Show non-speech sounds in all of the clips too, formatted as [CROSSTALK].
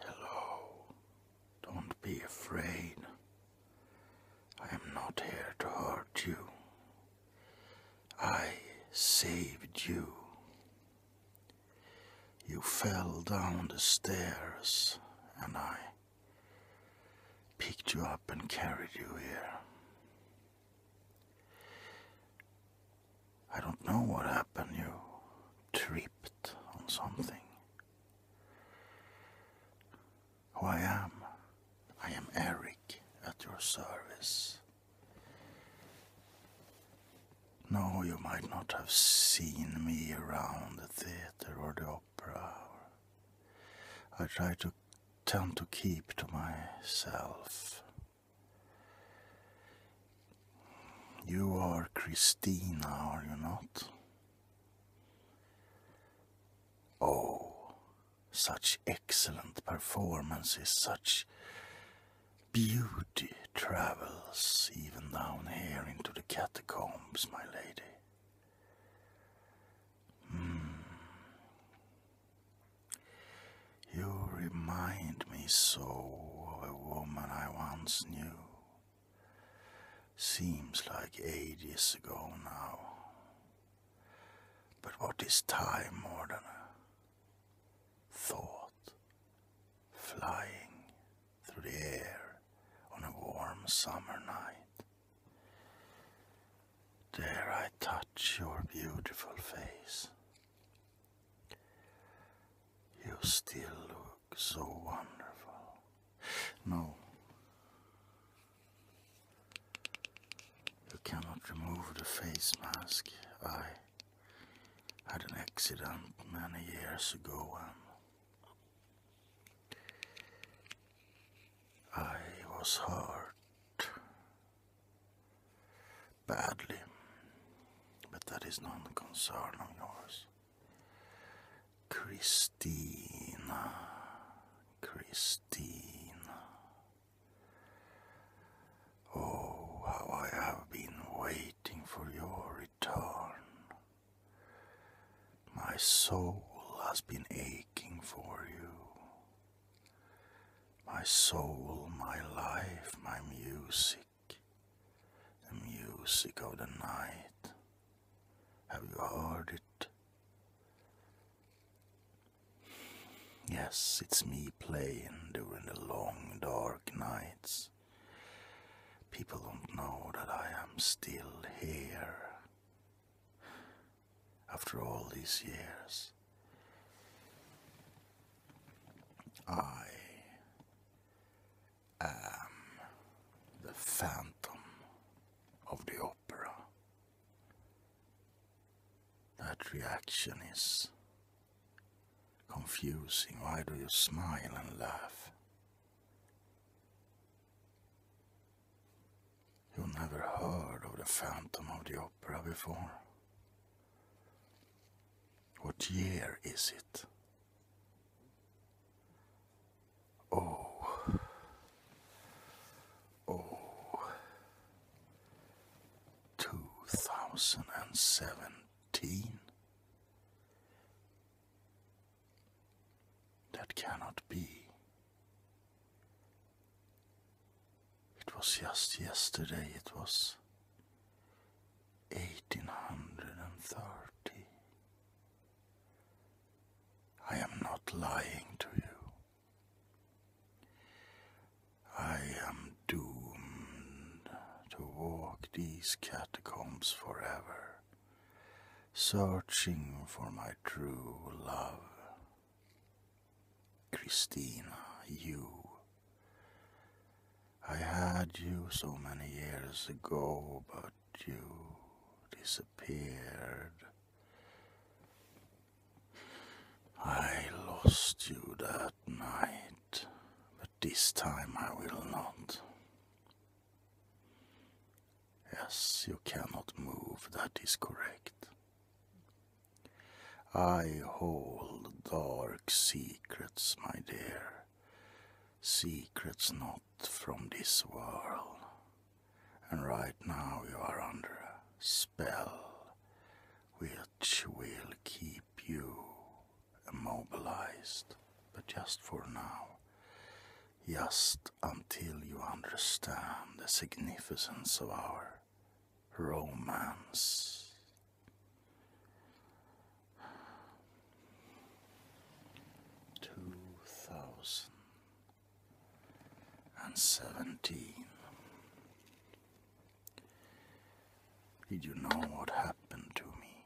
Hello. Don't be afraid. I am not here to hurt you. I saved you. You fell down the stairs, and I picked you up and carried you here. I don't know what happened. You tripped on something who I am. I am Eric at your service. No, you might not have seen me around the theater or the opera. I try to tend to keep to myself. You are Christina, are you not? Oh, such excellent performances, such beauty travels even down here into the catacombs, my lady. Hmm. You remind me so of a woman I once knew. Seems like ages ago now. But what is time more than a thought flying through the air on a warm summer night? Dare I touch your beautiful face? You still look so wonderful. No. You cannot remove the face mask. I had an accident many years ago and I was hurt badly, but that is not a concern of yours. Christina, Christina. Oh, how I have been waiting for your return. My soul has been aching for you. My soul, my life, my music the music of the night. Have you heard it? Yes, it's me playing during the long dark nights. People don't know that I am still here. After all these years, I I am um, the phantom of the opera. That reaction is confusing. Why do you smile and laugh? You never heard of the Phantom of the Opera before? What year is it? 2017? That cannot be. It was just yesterday, it was eighteen hundred and thirty. I am not lying to you. I am doomed to walk these catacombs forever, searching for my true love. Christina, you I had you so many years ago, but you disappeared. I lost you that night, but this time I will not. Yes, you cannot move, that is correct. I hold dark secrets, my dear secrets not from this world. And right now you are under a spell which will keep you immobilized, but just for now. Just until you understand the significance of our romance. Two thousand and seventeen. Did you know what happened to me?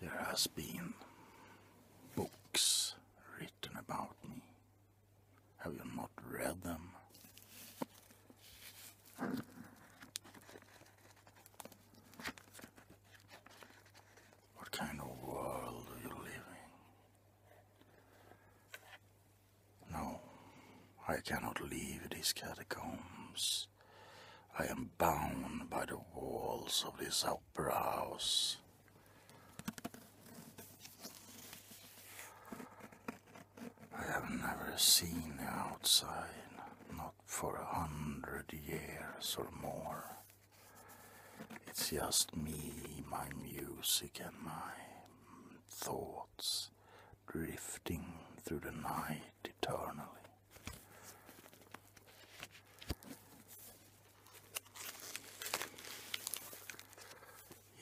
There has been books written about me have you not read them? What kind of world are you living? No, I cannot leave these catacombs. I am bound by the walls of this opera house. I have never seen the outside, not for a hundred years or more. It's just me, my music, and my thoughts drifting through the night eternally.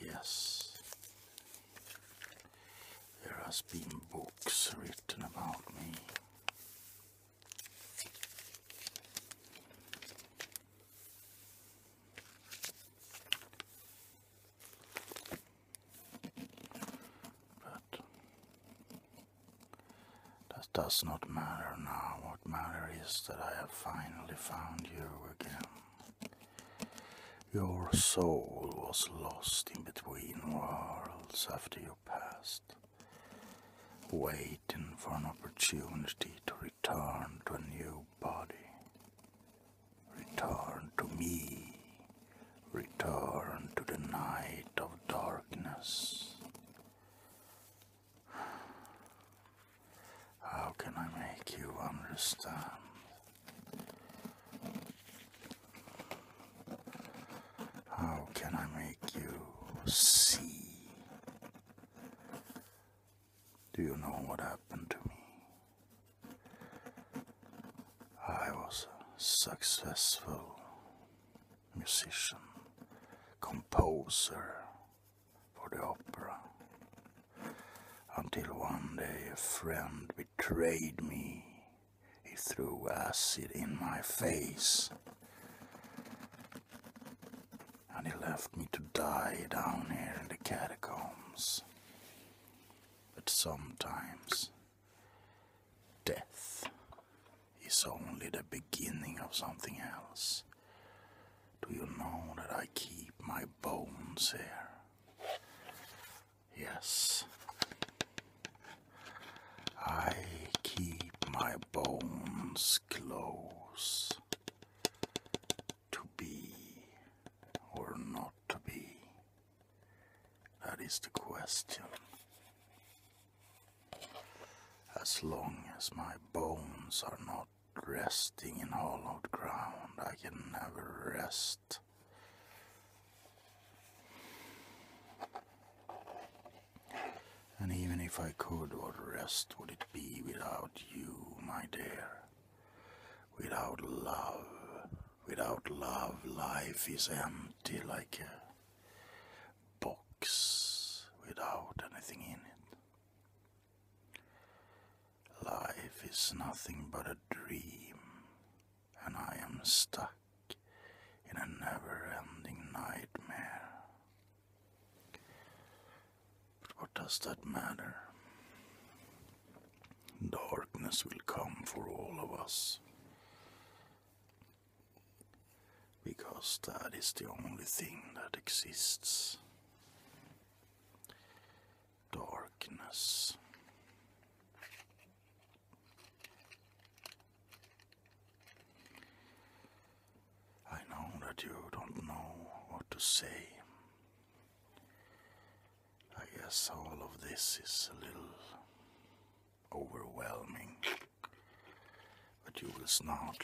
Yes. There has been books written about me. But that does not matter now. What matters is that I have finally found you again. Your soul was lost in between worlds after you passed, waiting for an opportunity to return to a new body. Return to me, return to the night of darkness. How can I make you understand? How can I make you see? Do you know what happened to me? I was a successful musician, composer, for the opera. Until one day a friend betrayed me. He threw acid in my face. And he left me to die down here in the catacombs. But sometimes death is only the beginning of something else. Do you know that I keep my bones here? Yes. I keep my bones close to be or not to be. That is the question. As long as my bones are not resting in hollowed ground, I can never rest. And even if I could, what rest would it be without you, my dear? Without love. Without love, life is empty like a box without anything in it. Life is nothing but a dream, and I am stuck in a never ending nightmare. But what does that matter? Darkness will come for all of us because that is the only thing that exists. Darkness. I know that you don't know what to say. I guess all of this is a little overwhelming. But you will not,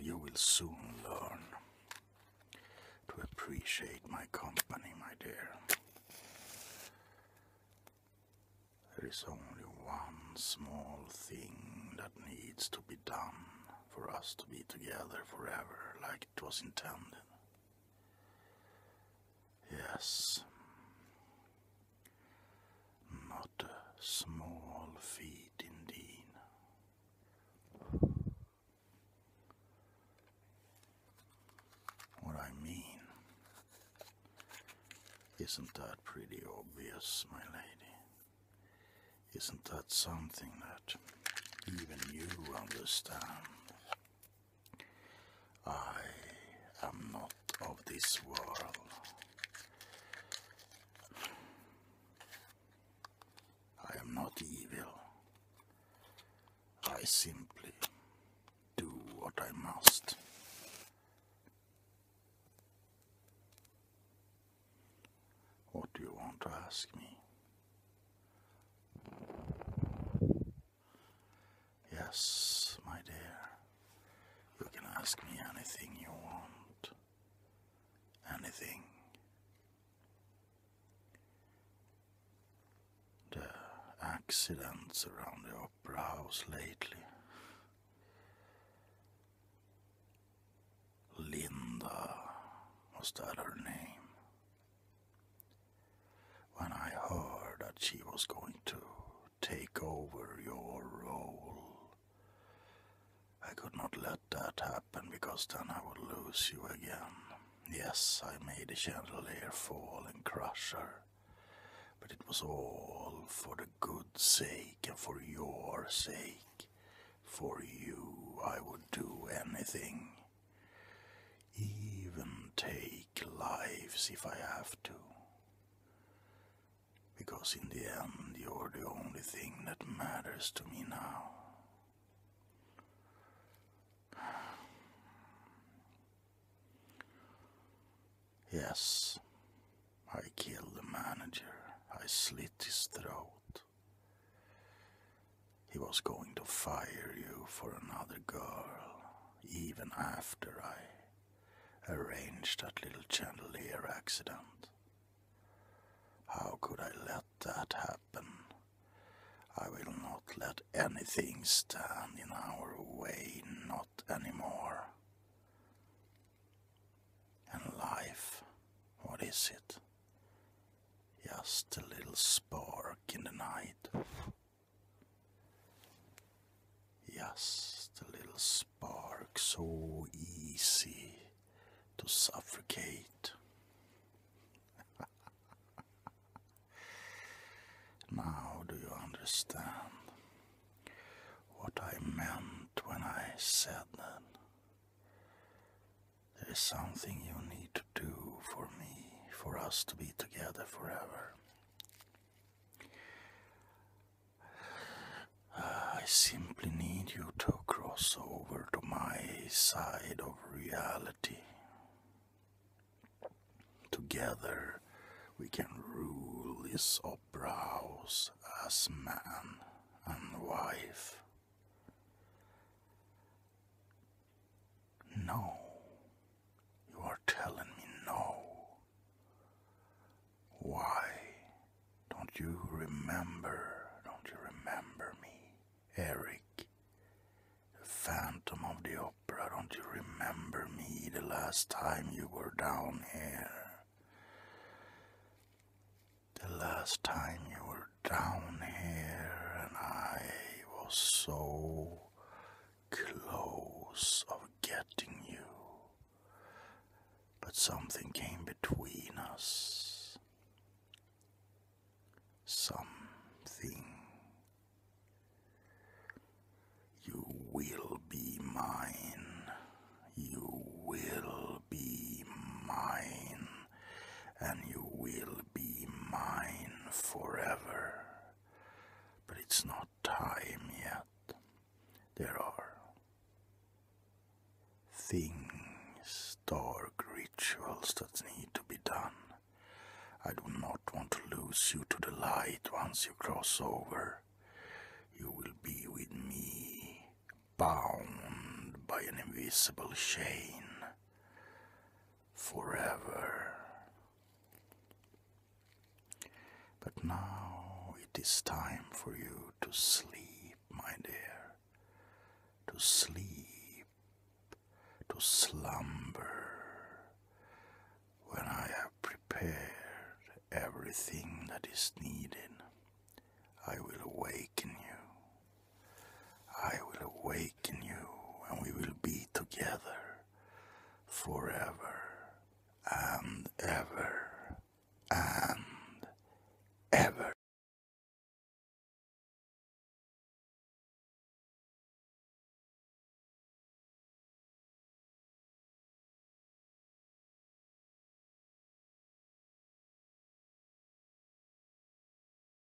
you will soon learn to appreciate my company, my dear. There is only one small thing that needs to be done for us to be together forever like it was intended. Yes, not a small feat indeed. What I mean, isn't that pretty obvious, my lady? Isn't that something that even you understand? I am not of this world. I am not evil. I simply do what I must. What do you want to ask me? Yes, my dear, you can ask me anything you want. Anything. The accidents around the opera house lately. Linda, was that her name? When I heard that she was going to take over your role. I could not let that happen because then I would lose you again. Yes, I made the chandelier fall and crush her, but it was all for the good sake and for your sake. For you, I would do anything. Even take lives if I have to. Because in the end, you're the only thing that matters to me now. Yes, I killed the manager. I slit his throat. He was going to fire you for another girl, even after I arranged that little chandelier accident. How could I let that happen? I will not let anything stand in our way, not anymore. And life, what is it? Just a little spark in the night. Just a little spark, so easy to suffocate. [LAUGHS] now do you understand what I meant when I said that? There is something you need to do for me, for us to be together forever. I simply need you to cross over to my side of reality. Together we can rule this opera house as man and wife. No, you are telling me no. Why don't you remember? Don't you remember me, Eric? The Phantom of the Opera, don't you remember me the last time you were down here? The last time you were down here and I was so close of getting you, but something came between us. Something. You will be mine. You will be mine. And you will be mine forever. But it's not time yet. There are things, dark rituals that need to be done. I do not want to lose you to the light once you cross over. You will be with me, bound by an invisible chain forever. But now it is time for you to sleep, my dear, to sleep, to slumber, when I have prepared everything that is needed. I will awaken you. I will awaken you and we will be together forever and ever and ever.